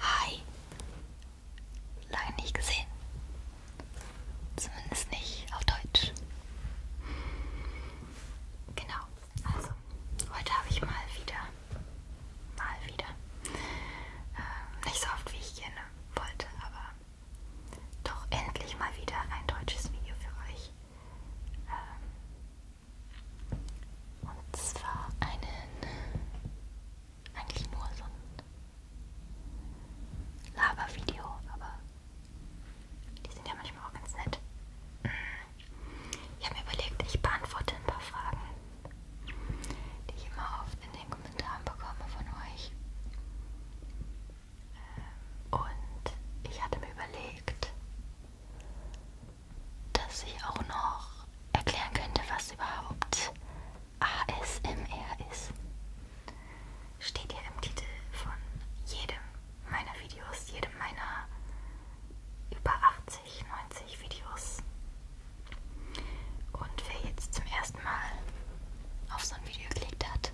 Hi, lange nicht gesehen. Zumindest nicht auf Deutsch. Genau, also heute habe ich mal wieder, mal wieder, ähm, nicht so oft wie ich gerne wollte, aber doch endlich mal wieder ein deutsches Video für euch. Ähm, und zwar einen, eigentlich nur so ein Labervideo, aber die sind ja manchmal auch ganz nett. Ich habe mir überlegt, ich beantworte ein paar Fragen, die ich immer oft in den Kommentaren bekomme von euch. Ähm, und ich hatte mir überlegt, dass ich auch noch erklären könnte, was überhaupt ASMR ist. Steht ja im Titel von jedem meiner Videos, jedem meiner über 80, 90 Videos. Und wer jetzt zum ersten Mal auf so ein Video geklickt hat,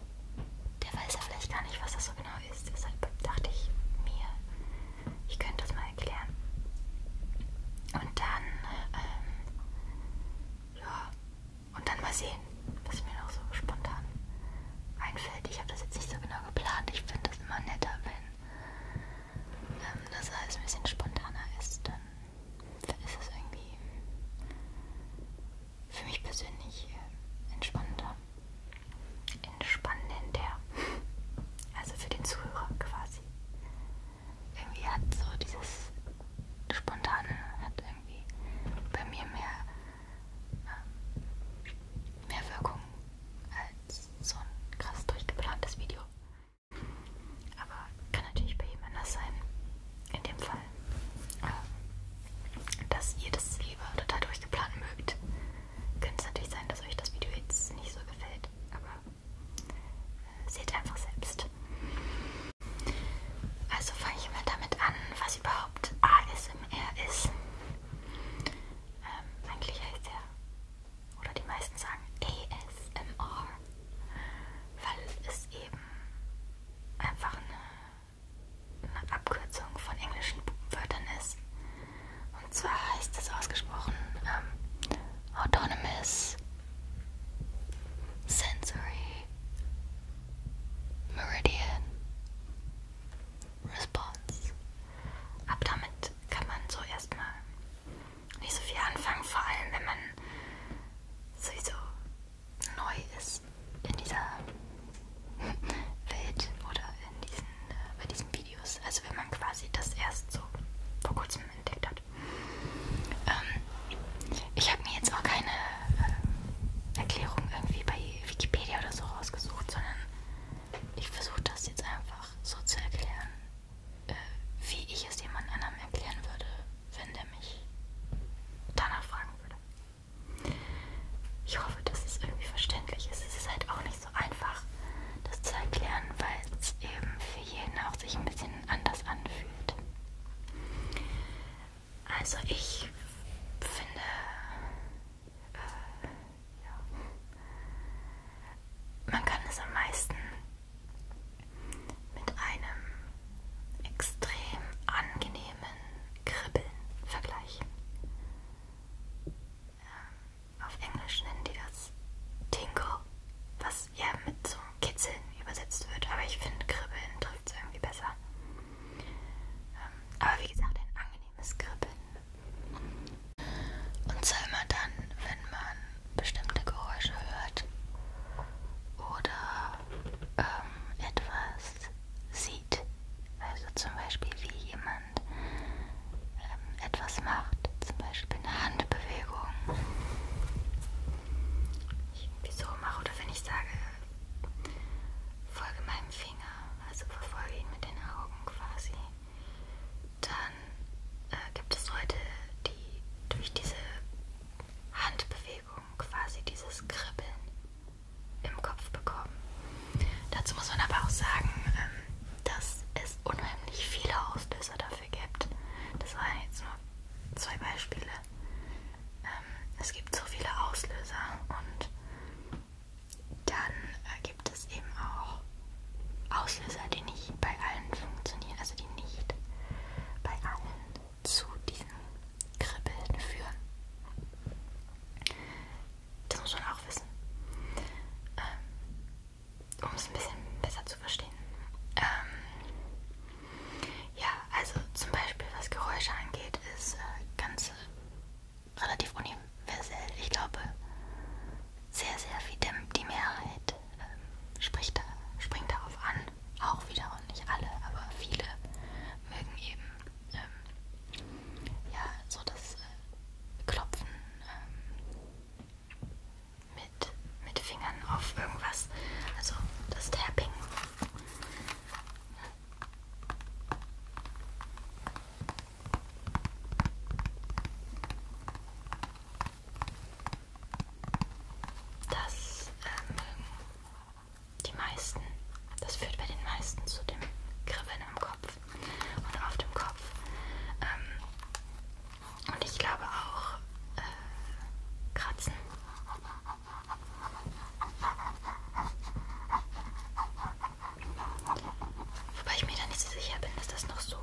der weiß ja vielleicht gar nicht, was das so genau ist. Deshalb dachte ich mir, ich könnte das mal erklären. Und dann, ähm, ja, und dann mal sehen, was mir noch so spontan einfällt. Ich habe das jetzt nicht so genau geplant. Ich finde das immer netter, wenn ähm, das alles ein bisschen spontaner ist. Dann, dann ist es irgendwie für mich persönlich äh, entspannter. Entspannender. Also für den Zuhörer quasi irgendwie hat so dieses Spontane hat irgendwie bei mir mehr, ähm, mehr Wirkung als so ein krass durchgeplantes Video. Aber kann natürlich bei jedem anders sein. In dem Fall, äh, dass ihr das lieber total durchgeplant mögt. Könnte es natürlich sein, dass euch das Video jetzt nicht so gefällt. Aber seht einfach selbst. Also fange ich mal damit an, was überhaupt ASMR ist. Ähm, eigentlich heißt er, oder die meisten sagen ASMR, weil es eben einfach eine, eine Abkürzung von englischen Wörtern ist. Und zwar heißt es ausgesprochen ähm, Autonomous Sensory Meridian Response. Ab damit kann man so erstmal nicht so viel anfangen, vor allem wenn man sowieso neu ist in dieser Welt oder in diesen, äh, bei diesen Videos. Also wenn man quasi das erst so vor kurzem entdeckt hat gut. Ähm, ich habe mir jetzt auch keine äh, Erklärung irgendwie bei Wikipedia oder so rausgesucht, sondern ich versuche das jetzt einfach so zu erklären, äh, wie ich es jemand anderem erklären würde, wenn der mich danach fragen würde. Ich hoffe, dass es irgendwie verständlich ist. Es ist halt auch nicht so einfach, das zu erklären, weil es eben für jeden auch sich ein bisschen anders anfühlt. Also ich finde, äh, ja. man kann es am meisten mit einem extrem angenehmen Kribbeln vergleichen. Ähm, auf Englisch nennen die das Tingle, was ja mit so Kitzeln übersetzt wird, aber ich finde Kribbeln trifft es irgendwie besser. Ähm, aber wie gesagt, ein angenehmes Kribbeln. Und zwar immer dann, wenn man bestimmte Geräusche hört oder ähm, etwas sieht. Also zum Beispiel wie jemand ähm, ähm, etwas macht, zum Beispiel eine Handbewegung, ich irgendwie so mache oder wenn ich sage, folge meinem Finger, also verfolge ihn mit den Augen quasi, dann äh, gibt es Leute, die durch diese Handbewegung quasi dieses Kribbeln im Kopf bekommen. Dazu muss man aber auch sagen, ähm, dass es unheimlich viele Auslöser dafür dafür gibt. Das waren jetzt nur zwei Beispiele. Ähm, es gibt so viele Auslöser und dann äh, gibt es eben auch Auslöser, die nicht bei allen funktionieren, also die nicht bei allen zu diesem Kribbeln führen. Das muss man auch wissen. Ähm, um es ein bisschen besser zu verstehen. Ähm, ja, also zum Beispiel was Geräusche angeht, ist äh, ganz äh, relativ universell. Ich glaube, sehr, sehr viel die Mehrheit äh, spricht da, springt darauf an. Auch wieder und nicht alle, aber viele mögen eben ähm, ja so das äh, Klopfen. Ähm, mit, mit Fingern auf irgendwas. Also das Tapping. Das ähm, die meisten, das führt bei den meisten zu dem Kribbeln am Kopf und auf dem Kopf. Ähm, und ich glaube auch äh, kratzen. Wobei ich mir da nicht so sicher bin, dass das noch so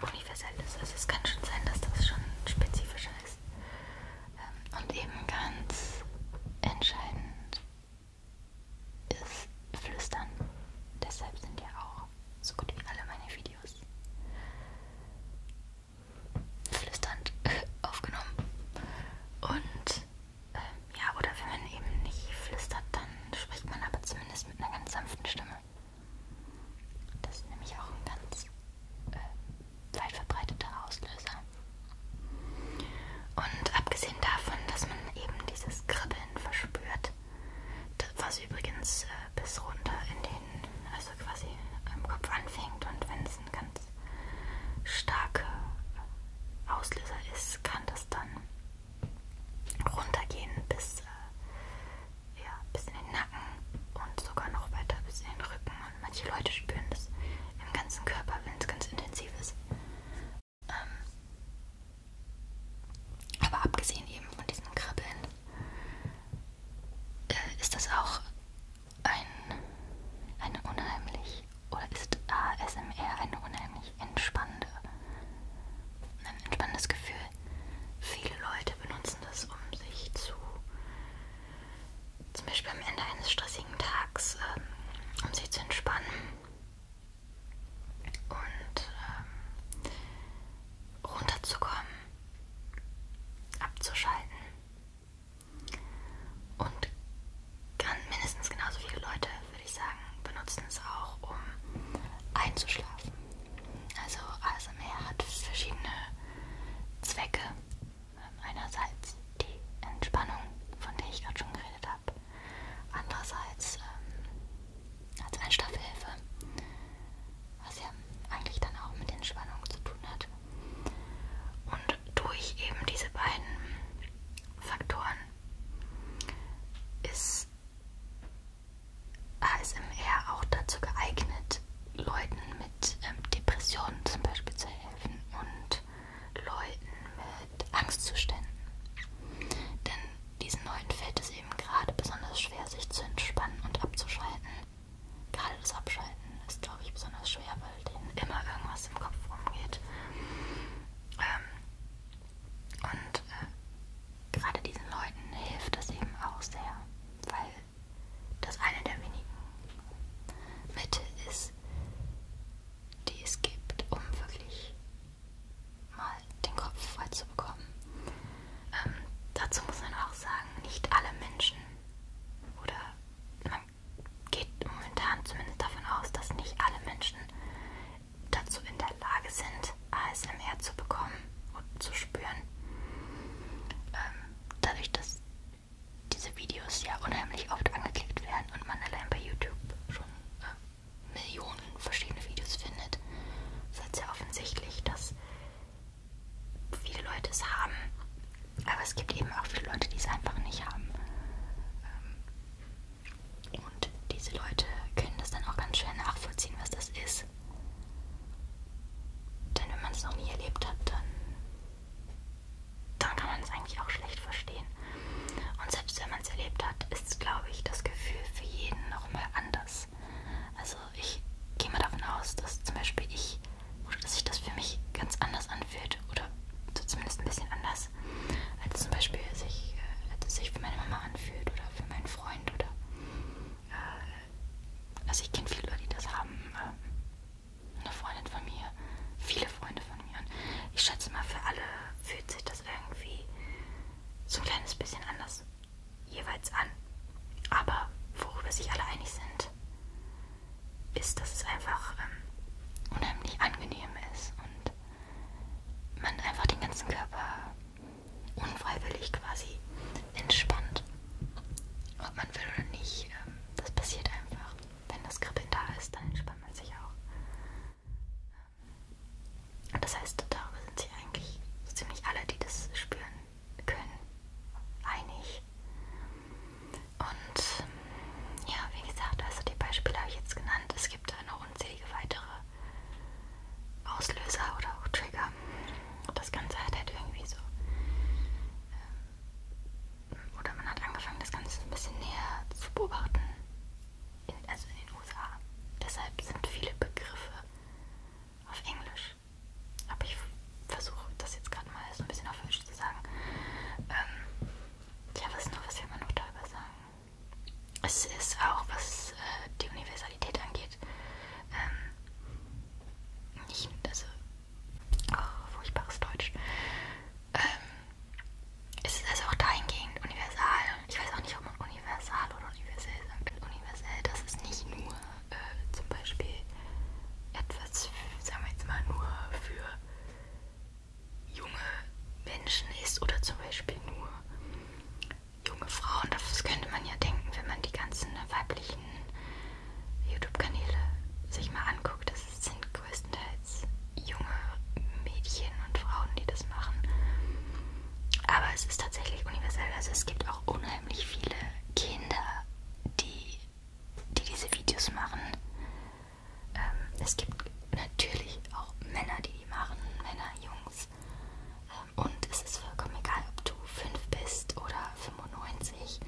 universell ist. Also es kann schon sein, dass das schon spezifischer ist. Ähm, und eben ganz entscheidend ist Flüstern. Deshalb sind ja auch so gut wie alle meine Videos flüsternd aufgenommen. Und ähm, ja, oder wenn man eben nicht flüstert, dann spricht man aber zumindest mit einer ganz sanften Stimme. Das ist nämlich auch ein ganz äh, weit verbreiteter Auslöser. Und abgesehen davon, dass man eben dieses Kribbeln verspürt, das, was übrigens äh, bis runter in den, also quasi im Kopf anfängt und wenn es ein ganz starker Auslöser ist, kann das dann runtergehen bis, äh, ja, bis in den Nacken und sogar noch weiter bis in den Rücken. Und manche Leute spüren das im ganzen Körper, wenn es ganz intensiv ist. Ähm, aber abgesehen eben von diesem Kribbeln äh, ist das auch ein, eine unheimlich oder ist ASMR eine unheimlich entspannende, ein entspannendes Gefühl? Viele Leute benutzen das, um sich zu zum Beispiel am Ende eines stressigen Tags, ähm, um sich zu entspannen und ähm, runterzukommen abzuschalten. Und kann mindestens genauso viele Leute, würde ich sagen, benutzen es auch, um einzuschlafen. Also ASMR hat verschiedene Zwecke. Ähm, einerseits die Entspannung, von der ich gerade schon geredet habe. Andererseits ähm, als Einschlafhilfe, was ja eigentlich dann auch mit Entspannung zu tun hat. Und durch eben diese beiden Faktoren ist ASMR auch dazu geeignet, Leuten mit ähm, Depressionen zum Beispiel zu helfen und Leuten mit Angstzuständen. Denn diesen Leuten fällt es ihm gerade besonders schwer, sich zu entspannen und abzuschalten. Gerade das Abschalten ist, glaube ich, besonders schwer, weil denen immer irgendwas im Kopf rumgeht. Ähm, und äh, gerade diesen Leuten hilft das eben auch sehr, weil das eine der wenigen Mittel ist, die es gibt, um wirklich mal den Kopf frei zu bekommen. Ähm, dazu muss man auch sagen, nicht alle Menschen oder man geht momentan zumindest davon aus, dass nicht alle Menschen dazu in der Lage sind, ASMR zu bekommen und zu spüren. Ähm, dadurch, dass diese Videos ja unheimlich oft angeklickt werden und man allein bei YouTube schon äh, Millionen verschiedene Videos findet, ist es ja offensichtlich, dass viele Leute es haben, aber es gibt eben auch viele Leute, die es einfach nicht haben. Ähm, und diese Leute können das dann auch ganz schwer nachvollziehen, was das ist. Denn wenn man es noch nie erlebt hat, dann, dann kann man es eigentlich auch schlecht verstehen. Und selbst wenn man es erlebt hat, ist, glaube ich, das Gefühl für jeden nochmal anders ist. Also ich gehe mal davon aus, dass zum Beispiel ich oder dass sich das für mich ganz anders anfühlt oder so zumindest ein bisschen anders, als zum Beispiel sich, äh, sich für meine Mama anfühlt oder für meinen Freund oder äh, also ich kenne viele Leute, die das haben. Äh, eine Freundin von mir, viele Freunde von mir. Und ich schätze mal, für alle fühlt sich das irgendwie so ein kleines bisschen anders jeweils an. Aber worüber sich alle einig sind, ist, dass es einfach ähm, unheimlich angenehm ist und man einfach den ganzen Körper unfreiwillig quasi entspannt. Ob man will oder nicht, ähm, das passiert einfach. Wenn das Kribbeln da ist, dann entspannt man sich auch. Ähm, das heißt, darüber sind sich eigentlich so ziemlich alle, die das spüren, können, einig. Und ja, wie gesagt, also die Beispiele habe ich jetzt genannt. Es gibt da noch unzählige weitere Auslöser oder auch Trigger. Das Ganze hat halt irgendwie so. Ähm, oder man hat angefangen, das Ganze ein bisschen näher zu beobachten. In, also in den USA. Deshalb sind viele Begriffe auf Englisch aber ich versuche das jetzt gerade mal so ein bisschen auf Deutsch zu sagen. Ähm, ja, was noch, was will man noch darüber sagen? Es ist auch, was äh, die Universalität angeht, ähm, nicht, also, oh, furchtbares Deutsch. Ähm, es ist also auch dahingehend universal. Ich weiß auch nicht, ob man universal oder universell sagt. Universell, das ist nicht nur äh, zum Beispiel etwas, für, sagen wir jetzt mal, nur für junge Menschen ist oder zum Beispiel nur junge Frauen. Das könnte man ja denken, wenn man die ganzen weiblichen YouTube-Kanäle sich mal anguckt. Das sind größtenteils junge Mädchen und Frauen, die das machen. Aber es ist tatsächlich universell. Also es gibt auch unheimlich viele Kinder, die, die diese Videos machen. Ähm, es gibt natürlich auch Männer, die die machen, Männer, Jungs. Ähm, und es ist vollkommen egal, ob du 5 bist oder 95.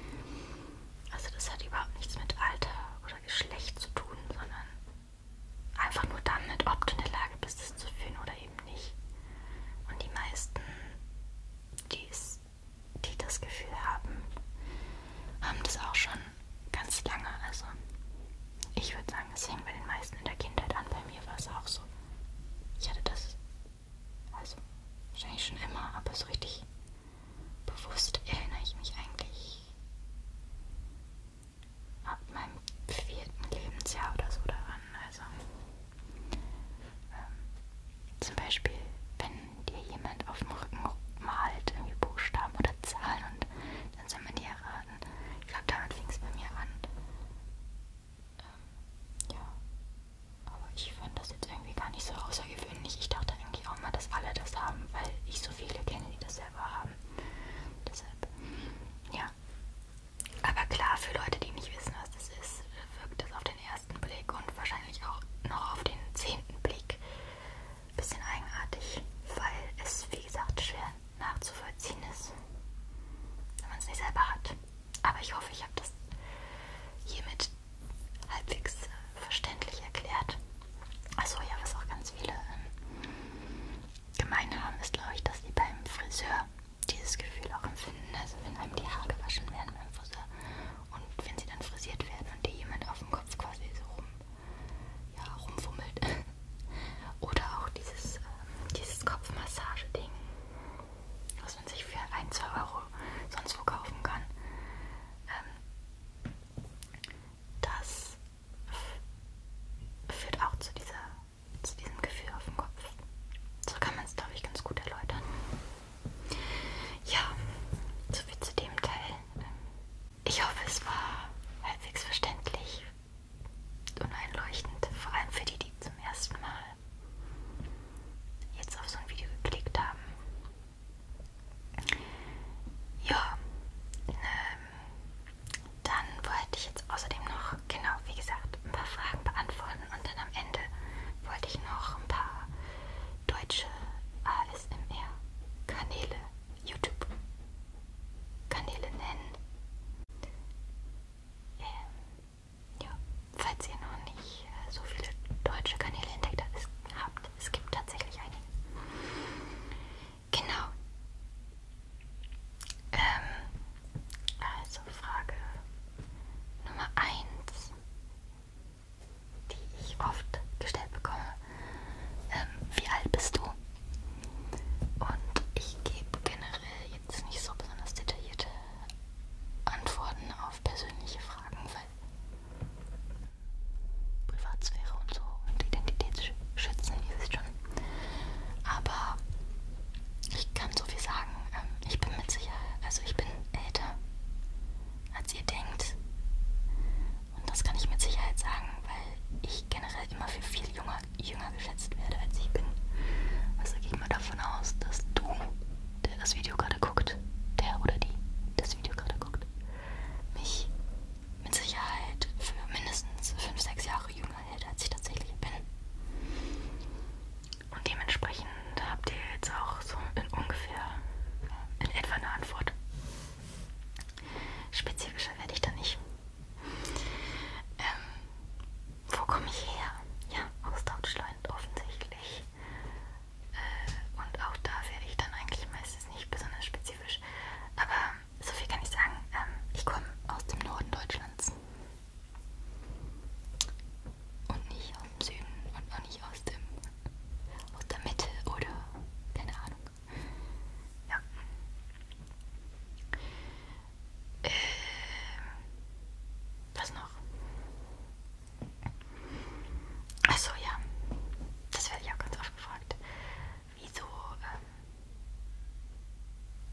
Also das hat überhaupt nichts mit Alter oder Geschlecht zu tun, sondern einfach nur damit, ob du in der Lage bist, es zu fühlen oder eben nicht. Und die meisten die's, die das Gefühl haben, haben das auch schon ganz lange. Also ich würde sagen, es hängt bei den meisten in der Kindheit an. Bei mir war es auch so. Ich hatte das also wahrscheinlich schon immer, aber so richtig bewusst erinnere ich mich eigentlich ab meinem vierten Lebensjahr oder so daran. Also ähm, zum Beispiel, wenn dir jemand auf dem Rücken malt, irgendwie Buchstaben oder Zahlen und dann soll man die erraten. Ich glaube, damit fing es bei mir an. Ähm, ja. Aber ich fand das jetzt irgendwie gar nicht so außergewöhnlich. Ich dachte eigentlich auch mal, dass alle das haben, weil ich so viele kenne, die das selber haben. Deshalb, ja. Aber klar, für Leute, die nicht wissen, was das ist, wirkt das auf den ersten Blick und wahrscheinlich auch noch auf den zehnten Blick ein bisschen eigenartig, weil es, wie gesagt, schwer nachzuvollziehen ist, wenn man es nicht selber hat. Aber ich hoffe, ich habe das hiermit halbwegs äh, verständlich erklärt. Achso, ja, was auch ganz viele ähm, gemein haben, ist, glaube ich, dass die beim Friseur dieses Gefühl auch empfinden. Also wenn einem die Haare gewaschen werden beim Friseur und wenn sie dann frisiert werden und dir jemand auf dem Kopf quasi so rum, ja, rumfummelt. Oder auch dieses, ähm, dieses Kopfmassage-Ding, was man sich für 1, 2 Euro sonst wo kaufen kann. Ähm, das führt auch zu dieser zu diesem Gefühl auf dem Kopf. So kann man es, glaube ich, ganz gut erläutern. Ja, soviel zu dem Teil. Ich hoffe, es war halbwegs verständlich und einleuchtend, vor allem für die, die zum ersten Mal jetzt auf so ein Video geklickt haben. Ja, ähm, dann wollte ich jetzt außerdem noch, genau wie gesagt, ein paar Fragen beantworten. Und dann am Ende wollte ich noch ein paar deutsche ASMR-Kanäle, YouTube-Kanäle nennen. Ähm, ja, falls ihr noch nicht äh, so viele deutsche Kanäle entdeckt habt, es gibt tatsächlich einige. Genau. Ähm, also Frage Nummer 1 die ich oft gestellt bekomme. Ähm, wie alt bist du? Und ich gebe generell jetzt nicht so besonders detaillierte Antworten auf persönliche Fragen, weil Privatsphäre und so und Identitätsschützen, ihr wisst schon. Aber ich kann so viel sagen. Ähm, ich bin mit Sicherheit, also ich bin älter, als ihr denkt. Und das kann ich mit Sicherheit sagen, weil ich generell immer für viel junger, jünger geschätzt werde, als ich bin. Also gehe ich mal davon aus, dass du, der das Video gerade guckt, der oder die das Video gerade guckt, mich mit Sicherheit für mindestens 5, 6 Jahre jünger hält, als ich tatsächlich bin. Und dementsprechend habt ihr jetzt auch so in ungefähr in etwa eine Antwort. Spezifischer werde ich da nicht. Ähm, wo komme ich her? Ja, aus Deutschland offensichtlich. Äh, und auch da werde ich dann eigentlich meistens nicht besonders spezifisch. Aber so viel kann ich sagen. Ähm, ich komme aus dem Norden Deutschlands. Und nicht aus dem Süden und auch nicht aus dem aus der Mitte oder keine Ahnung. Ja. Äh, was noch? Achso, ja. Das werde ich auch ganz oft gefragt. Wieso, ähm,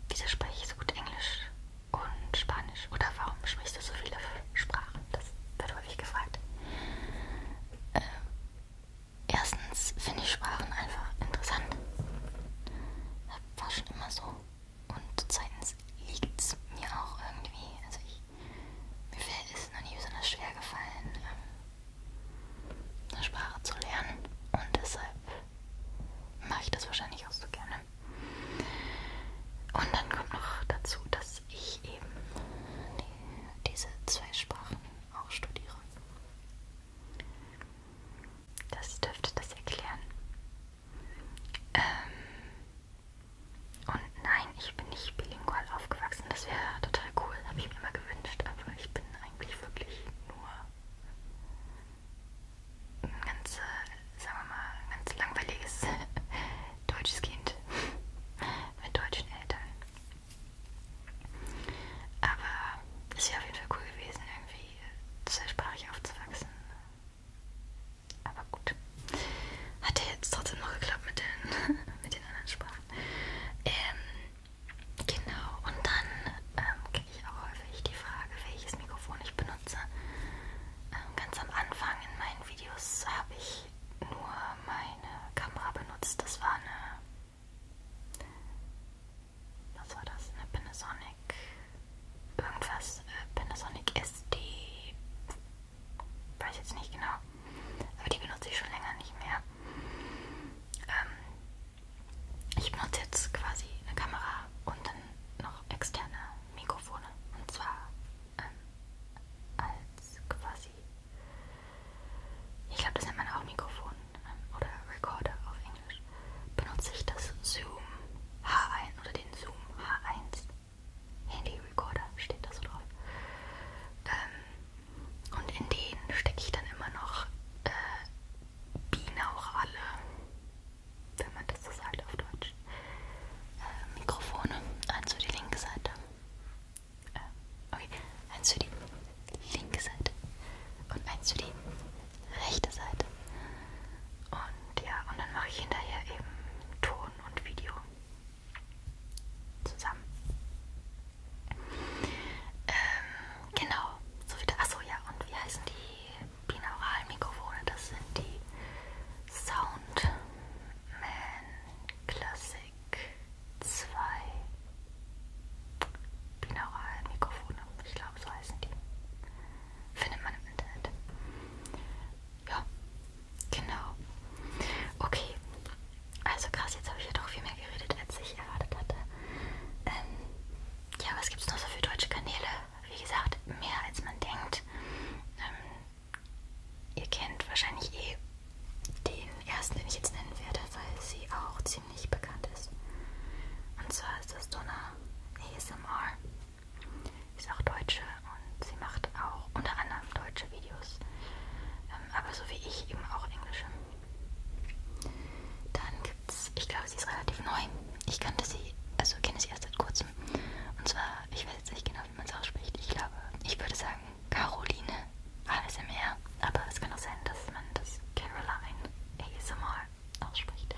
wieso spreche ich so gut Englisch? und Spanisch. Oder warum sprichst du so viele Sprachen? Das wird häufig gefragt. Ähm, erstens finde ich Sprachen einfach interessant. War schon immer so. Und zweitens liegt es mir auch irgendwie. Also ich, mir ist es noch nie besonders schwer gefallen, ähm, eine Sprache zu lernen. Und deshalb mache ich das wahrscheinlich auch so gerne. Und dann kommt noch dazu, dass ich eben die, diese zwei Sprachen auch studiere. Das dürfte das erklären. Ähm und nein, ich bin nicht bilingual aufgewachsen. Das wäre total cool, habe ich mir immer gewünscht. Aber ich bin eigentlich wirklich nur eine ganze sagen wir mal, ganz langweiliges deutsches Kind mit deutschen Eltern. Aber es wäre auf jeden Fall cool gewesen, irgendwie zweisprachig aufzuwachsen. Aber gut. Hat ja jetzt trotzdem noch geklappt mit den, mit den anderen Sprachen. Ähm, genau, und dann ähm, kriege ich auch häufig die Frage, welches Mikrofon ich benutze. Ähm, ganz am Anfang in meinen Videos habe ich nur meine Kamera benutzt. Das war eine. Was war das? Eine Panasonic. Irgendwas. Äh, Panasonic SD. Weiß jetzt nicht genau. Aber die benutze ich schon länger nicht mehr. Ähm, ich benutze jetzt quasi eine Kamera und dann noch externe Mikrofone. Und zwar ähm, als quasi, ich glaube, das nennt man auch Mikrofon ähm, oder Recorder auf Englisch, benutze ich das Zoom H1 oder den Zoom H1 Handy Recorder, steht da so drauf. Ähm, und in den stecke ich dann immer noch äh, Binauchale wenn man das so sagt auf Deutsch, äh, Mikrofone. Eins für die linke Seite. Äh, okay, eins für die linke Seite und eins für die rechte Seite. Und ja, und dann mache ich hinterher eben Ton und Video zusammen. Ähm, genau, so wieder. Achso, ja, und wie heißen die binauralen Mikrofone? Das sind die Sound Batman Classic 2 Binaural Mikrofone, ich glaube so heißen die. Findet man im Internet. Ja, genau. Okay, also krass, jetzt habe ich ja doch viel mehr geredet, als ich erwartet hatte. Ähm, ja, was gibt es noch so für deutsche Kanäle? Wie gesagt, mehr als man denkt. Ähm, Ihr kennt wahrscheinlich eh den ersten, den ich jetzt nennen werde, weil sie auch ziemlich bekannt ist. Und zwar ist das Donna ASMR. Sie ist auch Deutsche und sie macht auch unter anderem deutsche Videos, ähm, aber so wie ich eben auch englische. Dann gibt's, ich glaube, sie ist relativ neu. Ich kannte sie, also kenne sie erst seit kurzem. Und zwar, ich weiß jetzt nicht genau, wie man es ausspricht. Ich glaube, ich würde sagen Caroline ASMR. Aber es kann auch sein, dass man das Caroline ASMR ausspricht.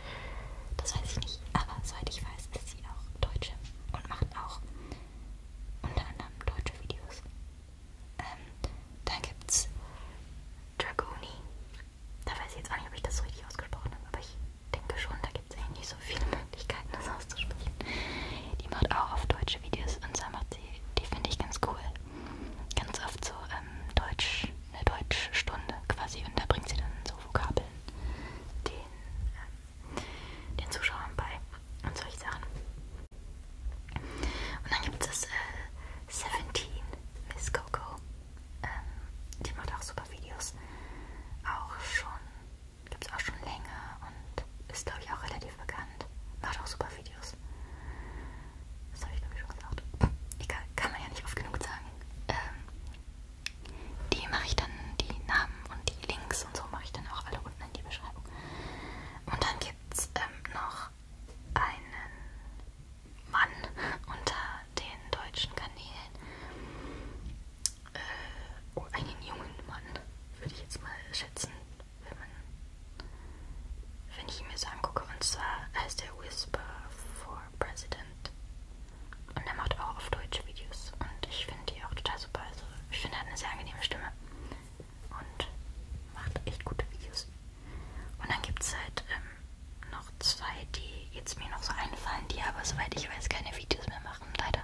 Das weiß ich nicht. Aber soweit ich weiß, ist sie auch Deutsche und macht auch unter anderem deutsche Videos. Ähm, dann gibt's Dragoni. Da weiß ich jetzt auch nicht, ob ich das so richtig ausgesprochen habe, aber ich denke schon, da gibt es eigentlich nicht so viele Möglichkeiten, das auszusprechen. Die macht auch auf deutsche Videos und zwar macht sie, die finde ich ganz cool, ganz oft so ähm, Deutsch, eine Deutschstunde quasi und da bringt sie dann so Vokabeln den, äh, den Zuschauern bei und solche Sachen. Und dann gibt es äh, 17 Miss Coco. Ähm, die macht auch super Videos. Auch schon Gibt es auch schon länger und ist, glaube ich, auch relativ bekannt. Macht auch super Videos. Das habe ich, glaube ich, schon gesagt. Egal, kann man ja nicht oft genug sagen. Ähm, die mache ich dann, die Namen und die Links und so mache ich dann auch alle unten in die Beschreibung. Und dann gibt es ähm, noch einen Mann unter den deutschen Kanälen äh, oh, einen jungen Mann, würde ich jetzt mal schätzen, wenn man, wenn ich ihn mir so angucke. Und zwar heißt er Whisper for President. Und er macht auch auf Deutsch Videos. Und ich finde die auch total super. Also ich finde, er hat eine sehr angenehme Stimme. Und macht echt gute Videos. Und dann gibt es halt ähm, noch zwei, die jetzt mir noch so einfallen, die aber, soweit ich weiß, keine Videos mehr machen machen, leider.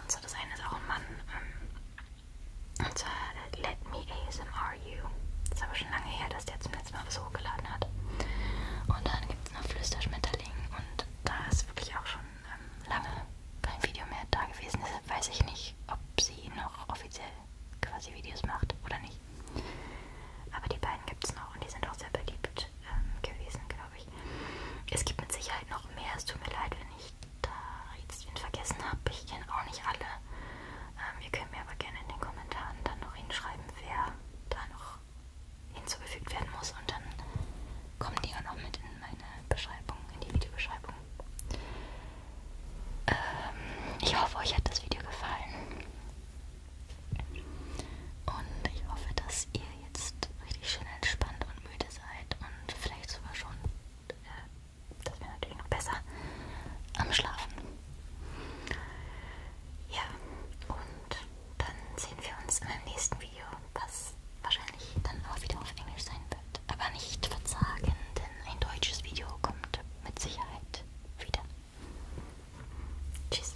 Und so, das eine ist auch ein Mann. Ähm, und zwar äh, Let Me ASMR You. Das ist aber schon lange her, dass der zum letzten Mal was hochgeladen hat. Und dann gibt es noch Flüsterschmetterling. Und da ist wirklich auch schon ähm, lange kein Video mehr da gewesen. Deshalb weiß ich nicht, ob sie noch offiziell quasi Videos macht oder nicht. Aber die beiden gibt es noch und die sind auch sehr beliebt ähm, gewesen, genau glaube ich. Es gibt mit Sicherheit noch mehr. Es tut mir leid, wenn ich da jetzt wen vergessen habe. Ich kenne auch nicht alle. Ähm, ihr könnt mir aber gerne in den Kommentaren dann noch hinschreiben, wer da noch hinzugefügt werden muss. Und dann kommen die auch noch mit in meine Beschreibung, in die Videobeschreibung. Ähm, ich hoffe, euch hat das Video gefallen. Und ich hoffe, dass ihr jetzt richtig schön entspannt und müde seid und vielleicht sogar schon, äh, das wäre natürlich noch besser, am Schlafen. Ja, und dann sehen wir uns in meinem nächsten Video, was wahrscheinlich dann auch wieder auf Englisch sein wird. Aber nicht verzagen, denn ein deutsches Video kommt mit Sicherheit wieder. Tschüss.